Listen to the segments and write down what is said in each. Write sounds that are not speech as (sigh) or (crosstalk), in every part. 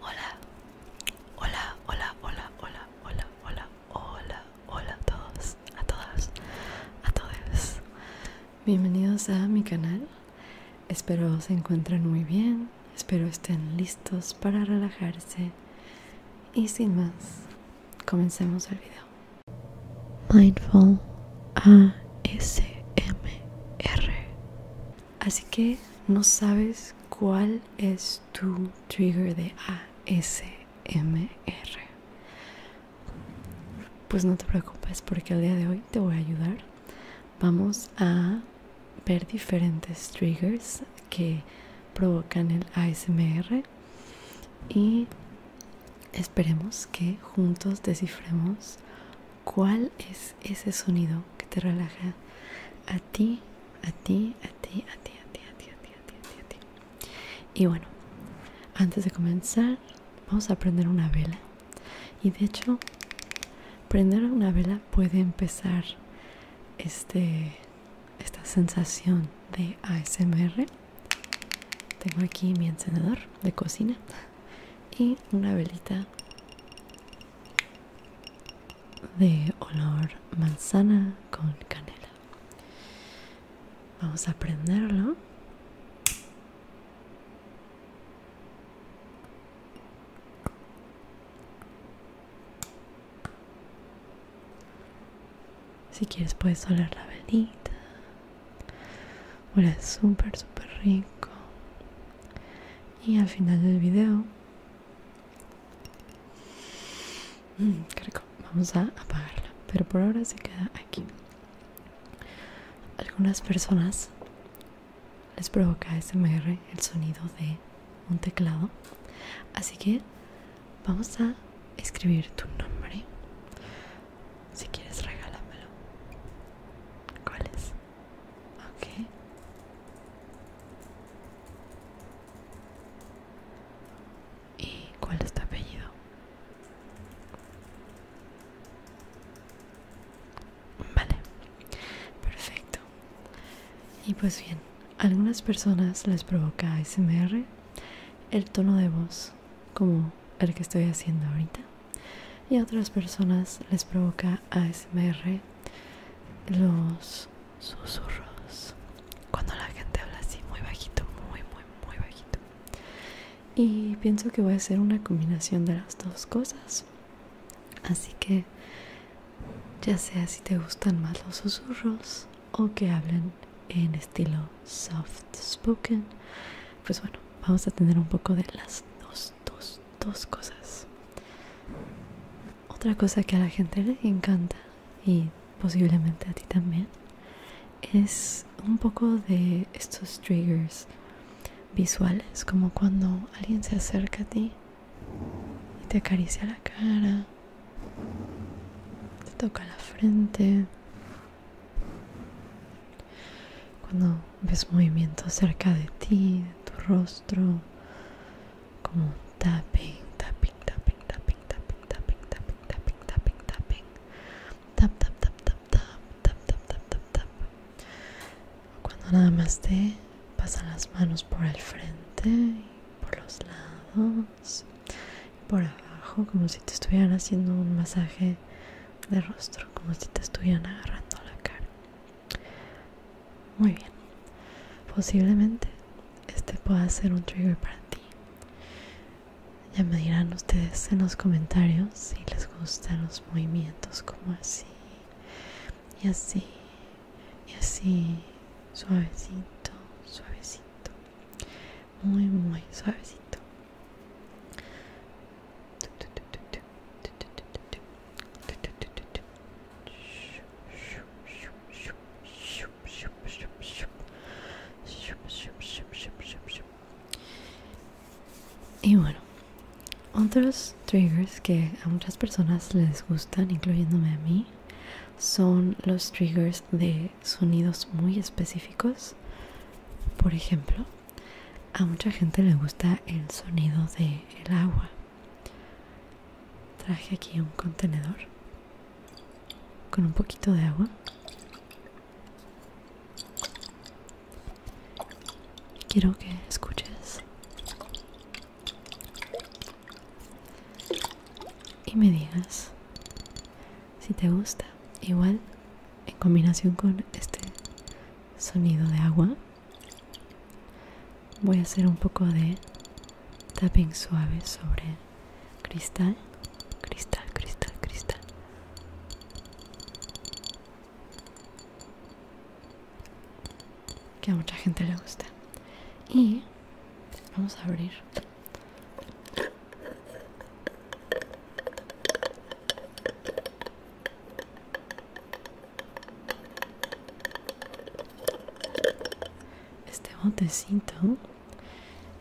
Hola, hola, hola, hola, hola, hola, hola, hola, hola a todos, a todas, a todos. Bienvenidos a mi canal. Espero se encuentren muy bien, espero estén listos para relajarse. Y sin más, comencemos el video. Mindful ASMR Así que no sabes cuál es tu trigger de ASMR. Pues no te preocupes porque el día de hoy te voy a ayudar. Vamos a ver diferentes triggers que provocan el ASMR y esperemos que juntos descifremos ¿Cuál es ese sonido que te relaja a ti, a ti, a ti, a ti, a ti, a ti, a ti, a ti, a ti, Y bueno, antes de comenzar, vamos a prender una vela. Y de hecho, prender una vela puede empezar este esta sensación de ASMR. Tengo aquí mi encendedor de cocina y una velita de olor manzana con canela. Vamos a prenderlo. Si quieres puedes oler la velita. es súper, súper rico y al final del video mm, vamos a apagarla pero por ahora se queda aquí algunas personas les provoca SMR el sonido de un teclado así que vamos a escribir tu nombre si quieres regálamelo ¿cuál es? Okay. ¿Y cuál es tu apellido? Vale, perfecto. Y pues bien, algunas personas les provoca ASMR el tono de voz como el que estoy haciendo ahorita y a otras personas les provoca a ASMR los susurros cuando la gente habla así muy bajito muy muy muy bajito y pienso que voy a hacer una combinación de las dos cosas así que ya sea si te gustan más los susurros o que hablen en estilo soft spoken pues bueno vamos a tener un poco de las dos dos, cosas. Otra cosa que a la gente le encanta y posiblemente a ti también es un poco de estos triggers visuales, como cuando alguien se acerca a ti y te acaricia la cara, te toca la frente, cuando ves movimiento cerca de ti, de tu rostro, como tapping, tapping, tapping, tapping, tapping, tapping, tapping, tapping, tapping, tapping, tap, tap, tap, tap, tap, tap, tap, tap, tap, tap. Cuando nada más te pasan las manos por el frente, por los lados, por abajo, como si te estuvieran haciendo un masaje de rostro como si te estuvieran agarrando la cara. Muy bien, posiblemente este pueda ser un trigger para ti. Ya me dirán ustedes en los comentarios si les gustan los movimientos como así y así y así suavecito, suavecito, muy muy suavecito. Y bueno, otros triggers que a muchas personas les gustan, incluyéndome a mí, son los triggers de sonidos muy específicos. Por ejemplo, a mucha gente le gusta el sonido del agua. Traje aquí un contenedor con un poquito de agua. quiero que escuches. Y me digas si te gusta igual en combinación con este sonido de agua voy a hacer un poco de tapping suave sobre cristal cristal cristal cristal que a mucha gente le gusta y vamos a abrir este botecito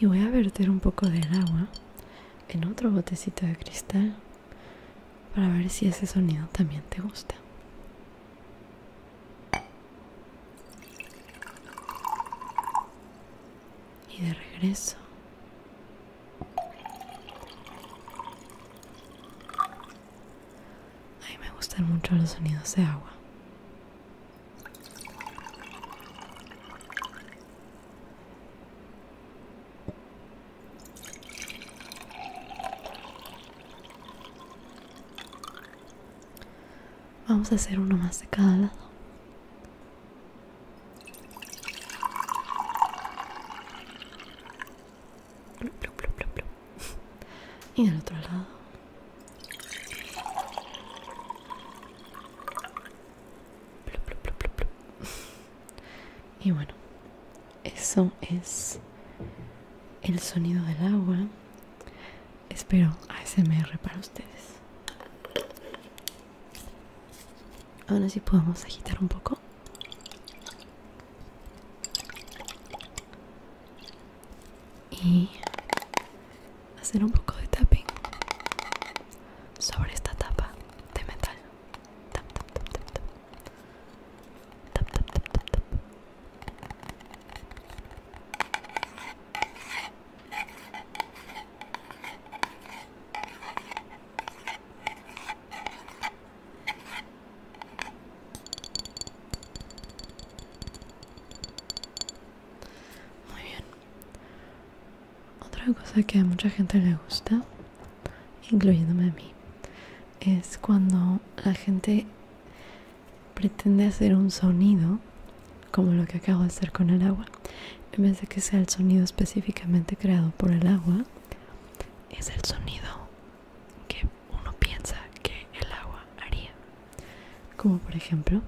y voy a verter un poco del agua en otro botecito de cristal para ver si ese sonido también te gusta y de regreso a mí me gustan mucho los sonidos de agua. Vamos a hacer uno más de cada lado. (laughs) Y del otro lado. (laughs) Y bueno, eso es el sonido del agua. Espero ASMR para ustedes. Ahora sí podemos agitar un poco. Y hacer un poco de tapping sobre esta tapa de metal. Tap, tap, tap, tap, tap. Tap, tap, tap, tap, tap. Muy bien. Otra cosa que a mucha gente le gusta, incluyéndome a mí, es cuando la gente pretende hacer un sonido como lo que acabo de hacer con el agua, en vez de que sea el sonido específicamente creado por el agua, es el sonido que uno piensa que el agua haría. Como por ejemplo,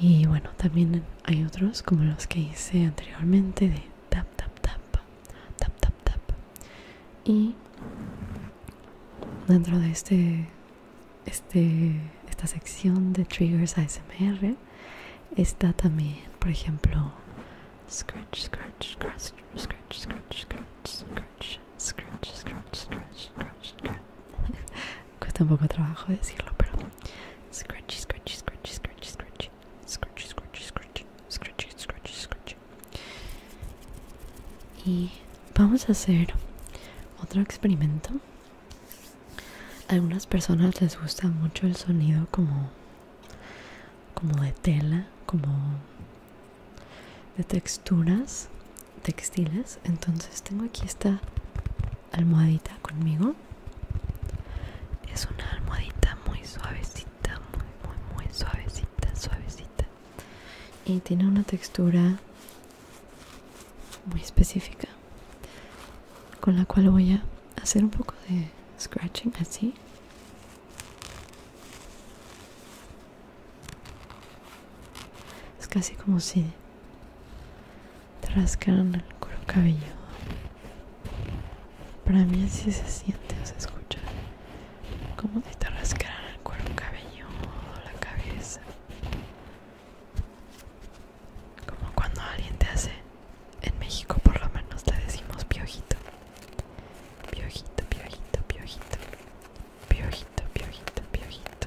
y bueno, también hay otros como los que hice anteriormente de tap, tap, tap, tap, tap, tap. Y dentro de este, este, esta sección de triggers ASMR está también, por ejemplo, scratch, scratch, scratch, scratch, scratch, scratch, Cuesta un poco trabajo decirlo, pero Scratchy, scratchy, scratchy, scratchy, scratchy. Scratchy, scratchy, scratchy. Scratchy, scratchy, Y vamos a hacer otro experimento. A algunas personas les gusta mucho el sonido como como de tela, como de texturas textiles. Entonces tengo aquí esta almohadita conmigo es una almohadita muy suavecita muy muy muy suavecita suavecita y tiene una textura muy específica con la cual voy a hacer un poco de scratching así es casi como si te rascan el cuero cabelludo. Para mí así se siente o se escucha. Como si te rascaran el cuero cabelludo, la cabeza. Como cuando alguien te hace, en México por lo menos te decimos piojito. Piojito, piojito, piojito. Piojito, piojito, piojito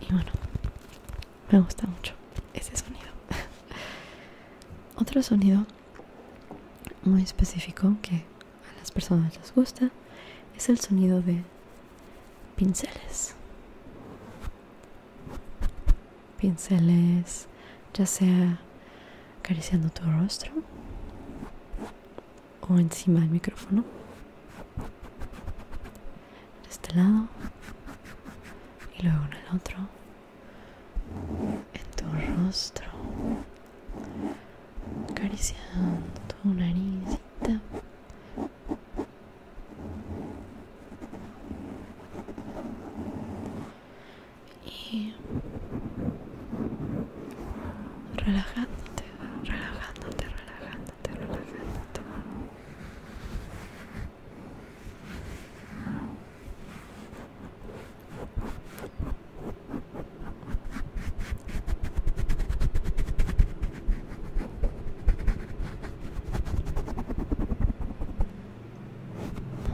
Y bueno, me gusta mucho ese sonido. (laughs) Otro sonido muy específico que a las personas les gusta es el sonido de pinceles. Pinceles, ya sea acariciando tu rostro o encima del micrófono de este lado y luego en el otro en tu rostro acariciando tu naricita y relajándote relajándote, relajándote, relajándote,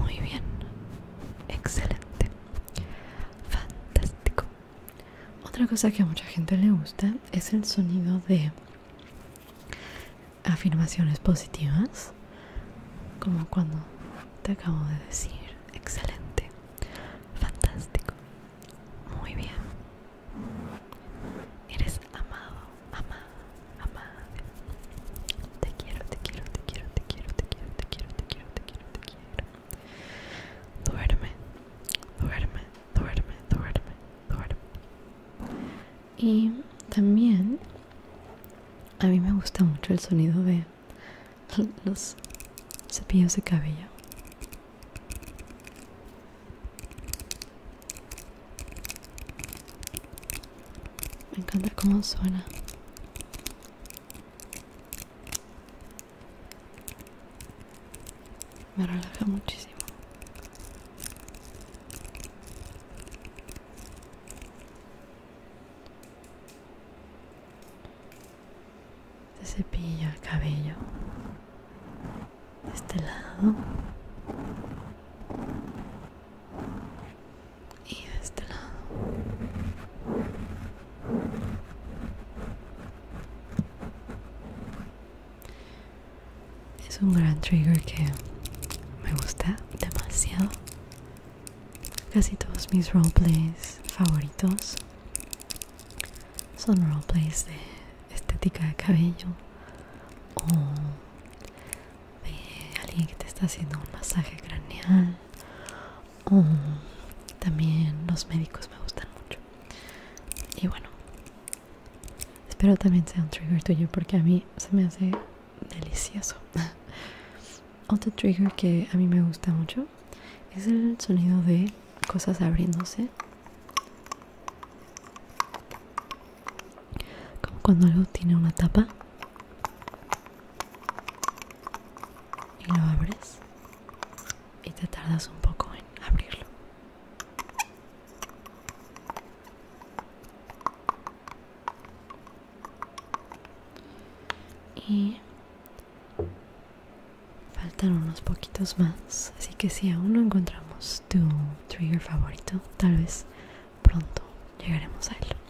Muy bien, excelente, fantástico. Otra cosa que a mucha gente le gusta es el sonido de afirmaciones positivas, como cuando te acabo de decir, excelente, fantástico, muy bien, eres amado, amada, amada, te quiero, te quiero, te quiero, te quiero, te quiero, te quiero, te quiero, te quiero, te quiero. Duerme, duerme, duerme, duerme, duerme. Y también a mí me gusta mucho el sonido de los cepillos de cabello. Me encanta cómo suena me relaja muchísimo se cepilla el cabello de este lado y de este lado es un gran trigger que me gusta demasiado. Casi todos mis roleplays favoritos son roleplays de estética de cabello o de alguien que te está haciendo un masaje craneal Mm, también los médicos me gustan mucho. Y bueno, espero también sea un trigger tuyo porque a mí se me hace delicioso. (laughs) Otro trigger que a mí me gusta mucho es el sonido de cosas abriéndose. Como cuando algo tiene una tapa y lo abres y te tardas un poco en abrirlo. Y faltan unos poquitos más, así que si aún no encontramos tu trigger favorito, tal vez pronto llegaremos a él.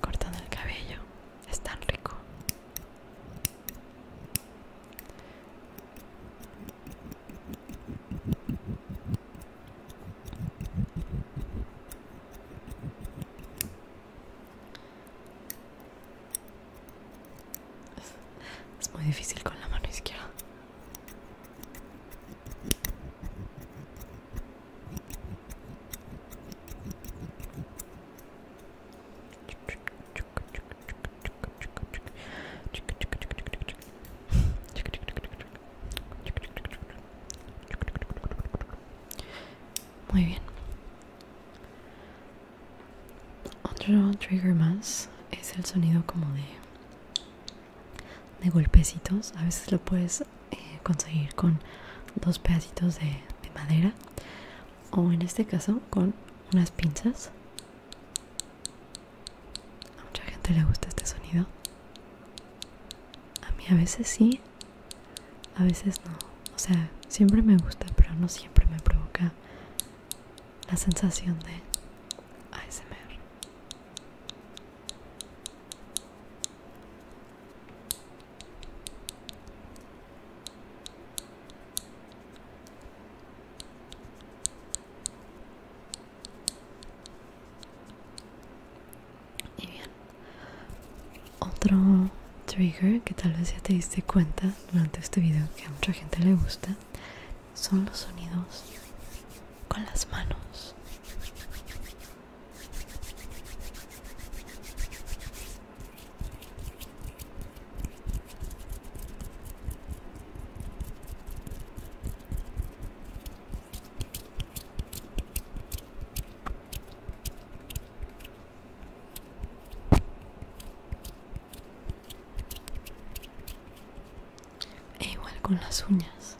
cortando el cabello es tan rico es muy difícil con la mano izquierda muy bien. Otro trigger más es el sonido como de de golpecitos. A veces lo puedes eh, conseguir con dos pedacitos de, de madera o en este caso con unas pinzas a mucha gente le gusta este sonido a mí a veces sí a veces no o sea siempre me gusta pero no siempre me provoca la sensación de ASMR y bien, otro trigger que tal vez ya te diste cuenta durante este video que a mucha gente le gusta son los sonidos con las manos e igual con las uñas.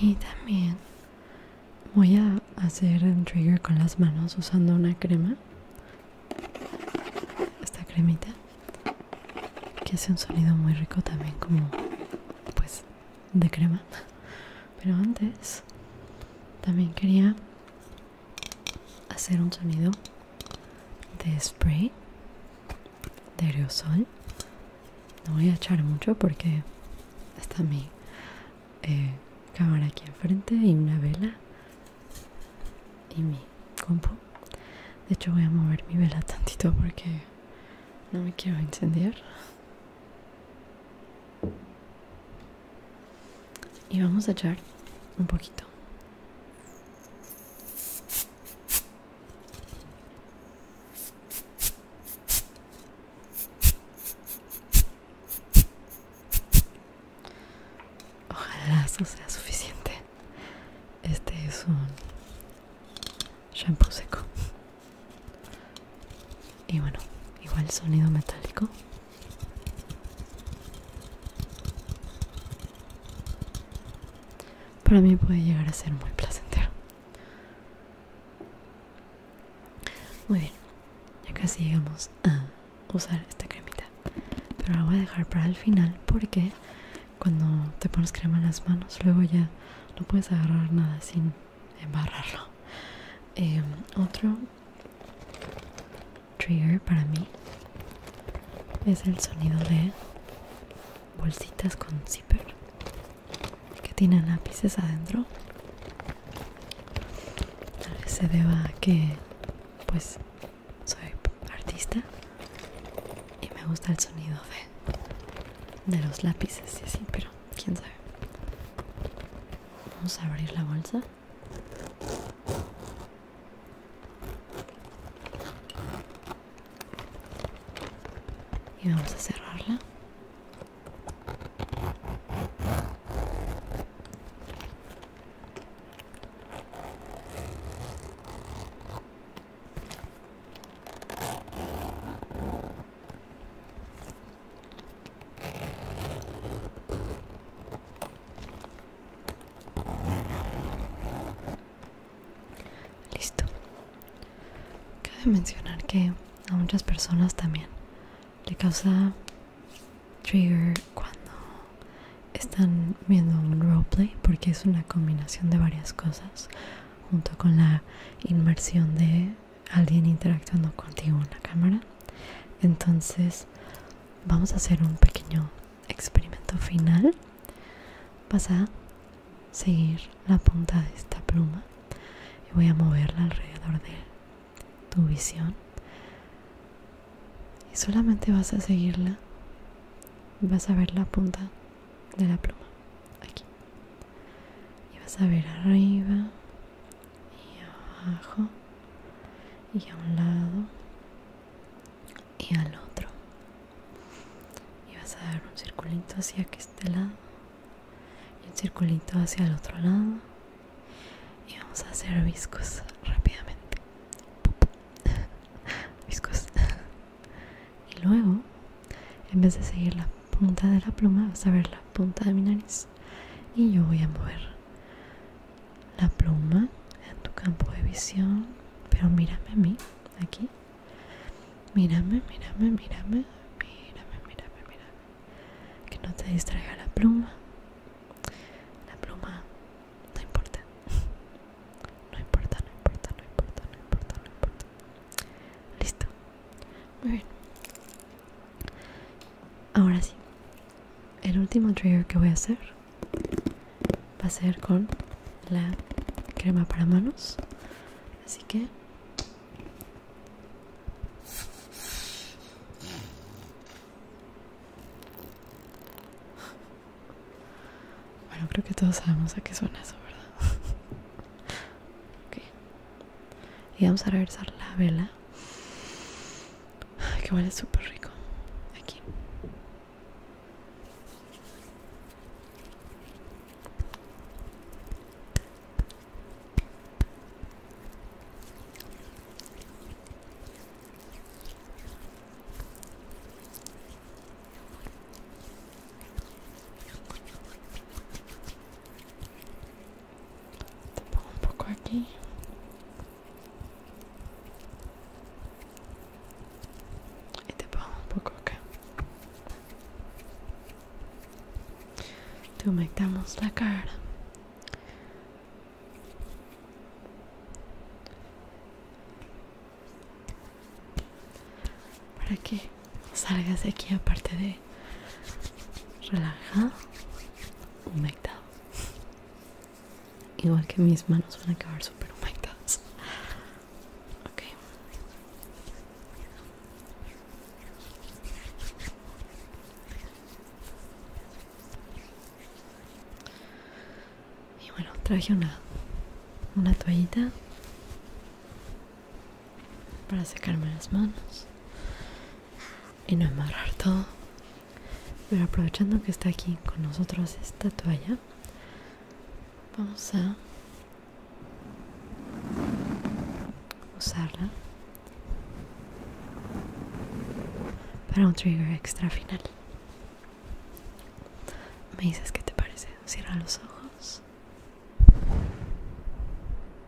Y también voy a hacer un trigger con las manos usando una crema. Esta cremita que hace un sonido muy rico también como pues de crema. Pero antes también quería hacer un sonido de spray de aerosol no voy a echar mucho porque está mi eh, cámara aquí enfrente y una vela y mi compu de hecho voy a mover mi vela tantito porque no me quiero encender y vamos a echar un poquito Ojalá eso sea suficiente. Este es un shampoo seco. Y bueno, igual sonido metálico para mí puede llegar a ser muy placentero. Muy bien, ya casi llegamos a usar esta cremita, pero la voy a dejar para el final porque cuando te pones crema en las manos luego ya no puedes agarrar nada sin embarrarlo. Em, otro trigger para mí es el sonido de bolsitas con zipper que tienen lápices adentro tal vez se deba a que pues soy artista y me gusta el sonido de, de los lápices y así pero quién sabe vamos a abrir la bolsa y vamos a cerrarla Listo. Cabe mencionar que a muchas personas también le causa trigger cuando están viendo un roleplay porque es una combinación de varias cosas junto con la inmersión de alguien interactuando contigo en la cámara. Entonces vamos a hacer un pequeño experimento final vas a seguir la punta de esta pluma y voy a moverla alrededor de tu visión y solamente vas a seguirla vas a ver la punta de la pluma aquí y vas a ver arriba y abajo y a un lado y al otro y vas a dar un circulito hacia este lado y un circulito hacia el otro lado y vamos a hacer viscos rápidamente (laughs) viscos (laughs) y luego en vez de seguir la punta de la pluma vas a ver la punta de mi nariz y yo voy a mover la pluma en tu campo de visión, pero mírame a mí, aquí. Mírame, mírame, mírame, mírame, mírame, mírame. Que no te distraiga la pluma. La pluma no importa. No importa, no importa, no importa, no importa, no importa. Listo. Muy bien. Ahora sí el último trigger que voy a hacer va a ser con la crema para manos así que bueno creo que todos sabemos a qué suena eso verdad (laughs) y vamos a regresar la vela Ay, que huele súper rico. Aquí. Te pongo un poco aquí. Y te pongo un poco acá. Te humectamos la cara. Para que salgas de aquí aparte de relajado, humectado. Igual que mis manos van a acabar super humectadas. Ok. Y bueno, traje una, una toallita para secarme las manos y no amarrar todo pero aprovechando que está aquí con nosotros esta toalla, vamos a usarla para un trigger extra final. Me dices qué te parece. Cierra los ojos.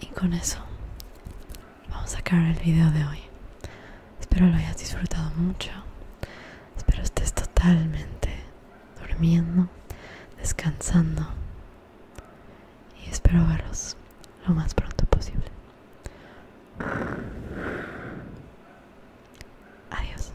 Y con eso vamos a acabar el video de hoy. Espero lo hayas disfrutado mucho. Espero estés totalmente durmiendo, descansando. Y espero verlos lo más pronto posible. Adiós.